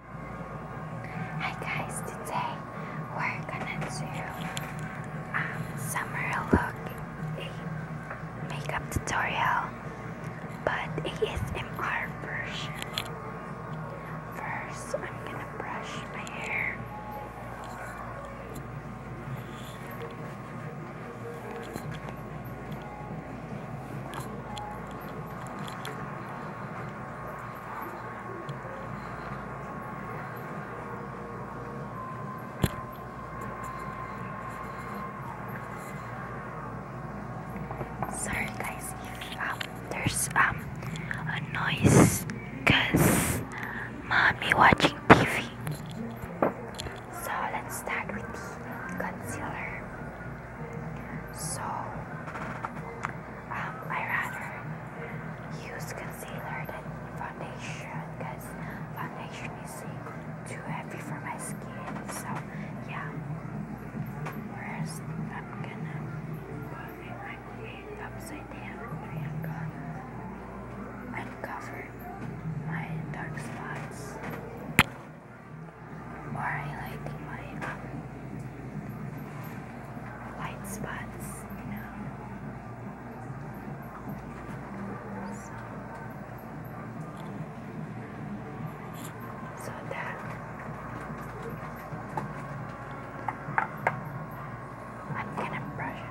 Hi guys, today we're gonna do a um, summer look a makeup tutorial, but ASMR version. First, I'm gonna brush my hair. Sorry guys um, there's um, a noise cause mommy watching TV. So let's start with the concealer. So, um, I rather use concealer than foundation because foundation is too heavy for my skin. So, yeah. First, I'm gonna put my head upside down and my dark spots or highlighting my um, spots, you know. So, that I'm gonna brush it.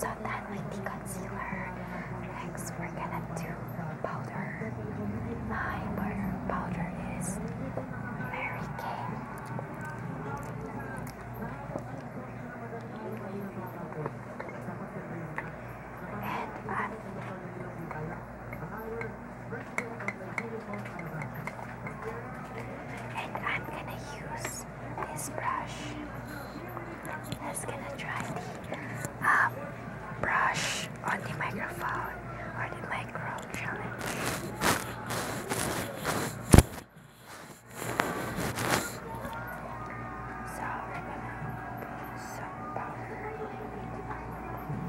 So that with the concealer, next we're gonna do powder. My burger powder is Mary Kay. And i and I'm gonna use this brush. Let's gonna try the um, brush on the microphone or the microphone. challenge. So we're gonna put some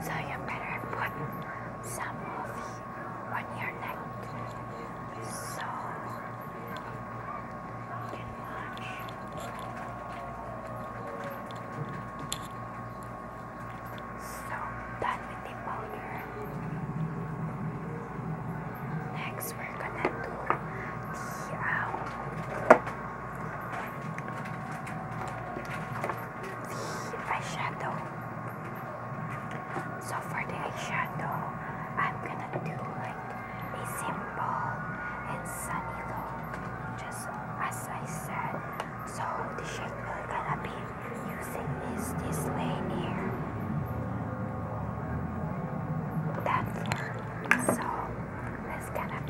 So you better put some on your neck so done with the powder. Next we're gonna do the um, eyeshadow. So for the eyeshadow, I'm gonna do like a simple and sunny look, just as I said. So the shape we're gonna be using is this lane here. That's so Let's get a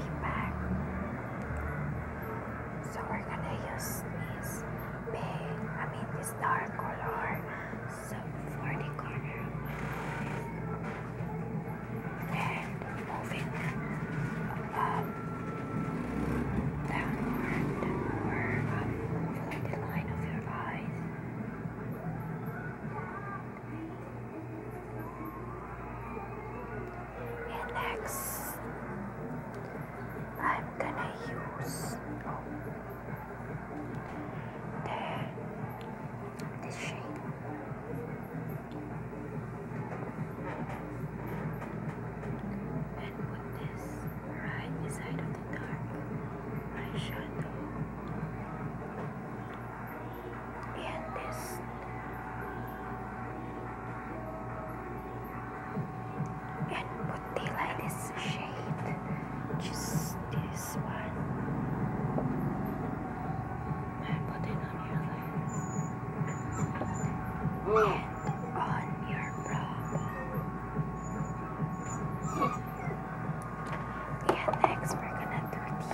So we're gonna use this pink, I mean this dark color. So for the corner of my And moving up uh, downward or up over the line of your eyes. And next, I'm gonna use oh, the, shade. And put this right beside of the dark eyeshadow and this and put this shade just this one and put it on your legs and on your brow yeah, next we're gonna do the,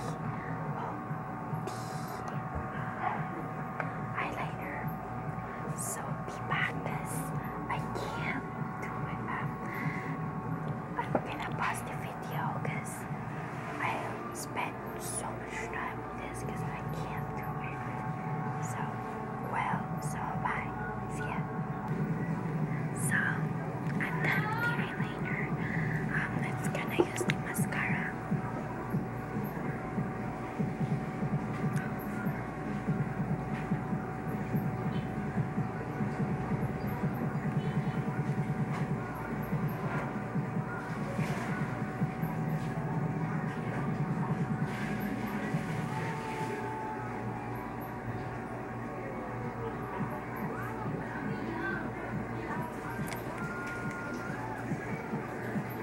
oh, So be back I can't do it. I'm gonna pause the video because I spent so much time on this because I can't do it. So well, so bye. See ya. So I'm done with the eyeliner. Um, let's gonna use the mascara.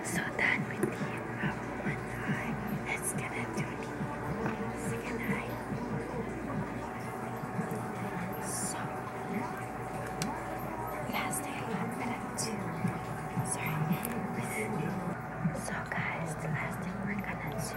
So that with the one eye, let's connect your the second eye. So last day I'm gonna do sorry. So guys, the last thing we're gonna do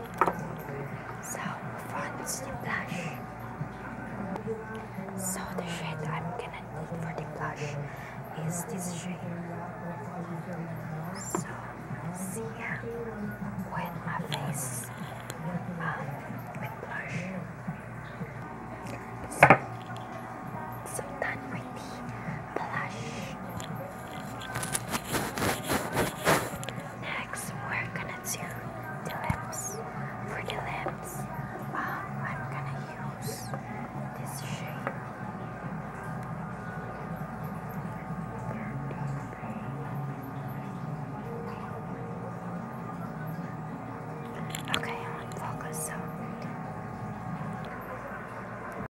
So fronts the blush. So the shade I'm gonna need for the blush is this shade. So see ya when my face um, with blush. So, so done with the Next, we're gonna do the lips. For the lips, I'm gonna use this shade. Okay, I'm on focus,